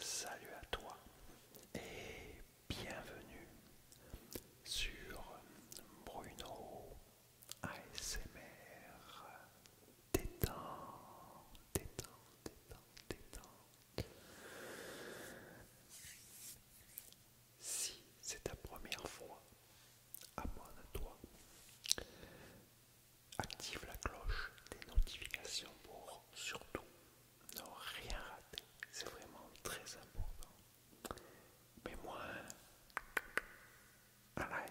Salut à toi et bienvenue sur Bruno ASMR. Détends, détends, détends, Si c'est ta première fois, abonne-toi active la cloche des notifications pour surtout ne rien rater. C'est vraiment très important. Mets-moi un, like,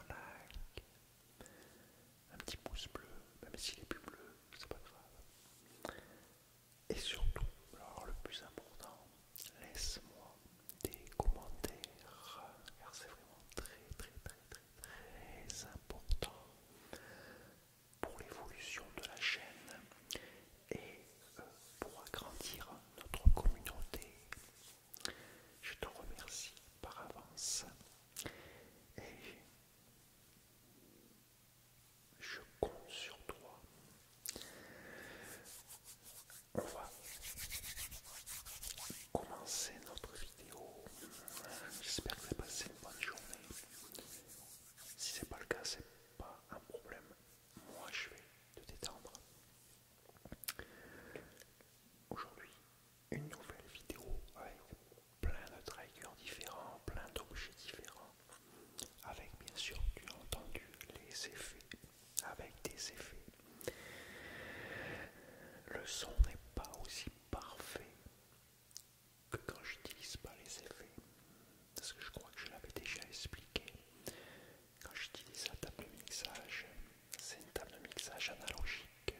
un like, un petit pouce bleu, même s'il n'est plus bleu, c'est pas grave. Et surtout, alors le plus important, laisse-moi des commentaires, car c'est vraiment très très très très important pour l'évolution de la chaîne et euh, pour agrandir notre communauté. Je te remercie par avance et je compte sur toi. On va commencer notre J'espère que vous avez passé une bonne journée. Si c'est pas le cas, c'est pas un problème. Moi, je vais te détendre. Aujourd'hui, une nouvelle vidéo avec plein de triggers différents, plein d'objets différents, avec bien sûr, tu as entendu les effets, avec des effets le son n'est pas aussi parfait que quand j'utilise pas les effets. Parce que je crois que je l'avais déjà expliqué. Quand j'utilise la table de mixage, c'est une table de mixage analogique,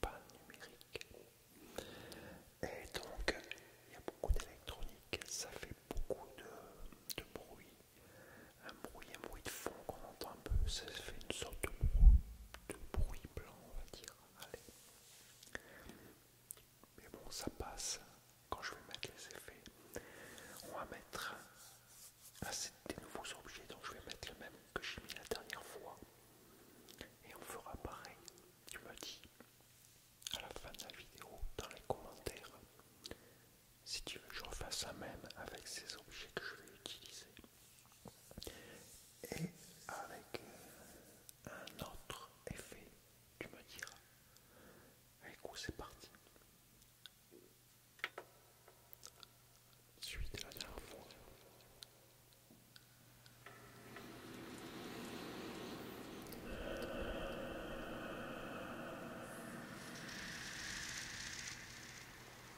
pas numérique. Et donc, il y a beaucoup d'électronique, ça fait beaucoup de, de bruit, un bruit, un bruit de fond qu'on entend un peu, ça fait une sorte de bruit, blanc on va dire, allez. Mais bon ça passe, quand je vais mettre les effets, on va mettre, assez des nouveaux objets, donc je vais mettre le même que j'ai mis la dernière fois, et on fera pareil, tu me dis, à la fin de la vidéo, dans les commentaires, si tu veux je j'en fasse même avec ces objets que je vais utiliser et avec euh, un autre effet, tu me diras. écoute c'est parti. Suite la dernière fois.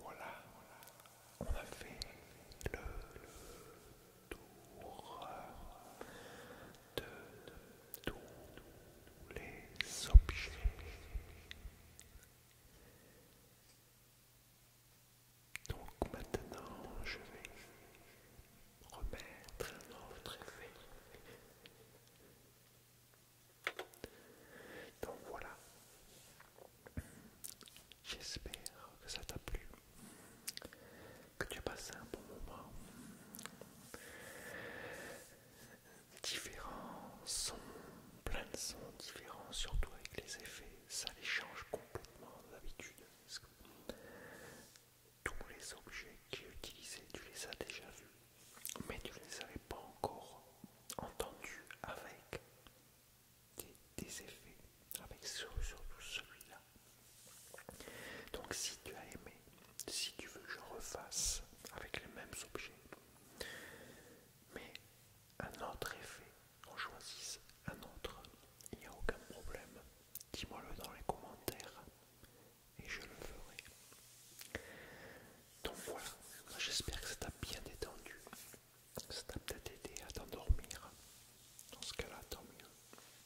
Voilà, on a fait le tour de tous les objets donc maintenant je vais remettre un autre effet donc voilà j'espère que ça t'a plu que tu as passé un bon moment. Différents sons, plein de sons différents, surtout avec les effets, ça les change complètement d'habitude. Tous les objets qui utilisaient, tu les as déjà vus, mais tu ne les avais pas encore entendus avec des, effets, avec surtout celui-là. Donc si tu as aimé, si tu veux que je refasse avec les mêmes objets, mais un autre effet, on choisisse un autre, il n'y a aucun problème. Dis-moi le dans les commentaires et je le ferai. Donc voilà, j'espère que ça t'a bien détendu, ça t'a peut-être aidé à t'endormir. Dans ce cas-là, tant mieux.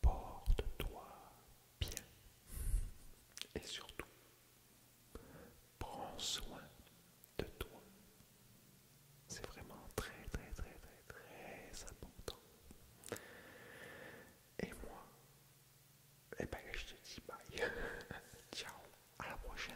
Porte-toi bien et surtout, prends soin de toi. C'est vraiment très très très très très important. Et moi, eh ben je te dis bye. Ciao, à la prochaine.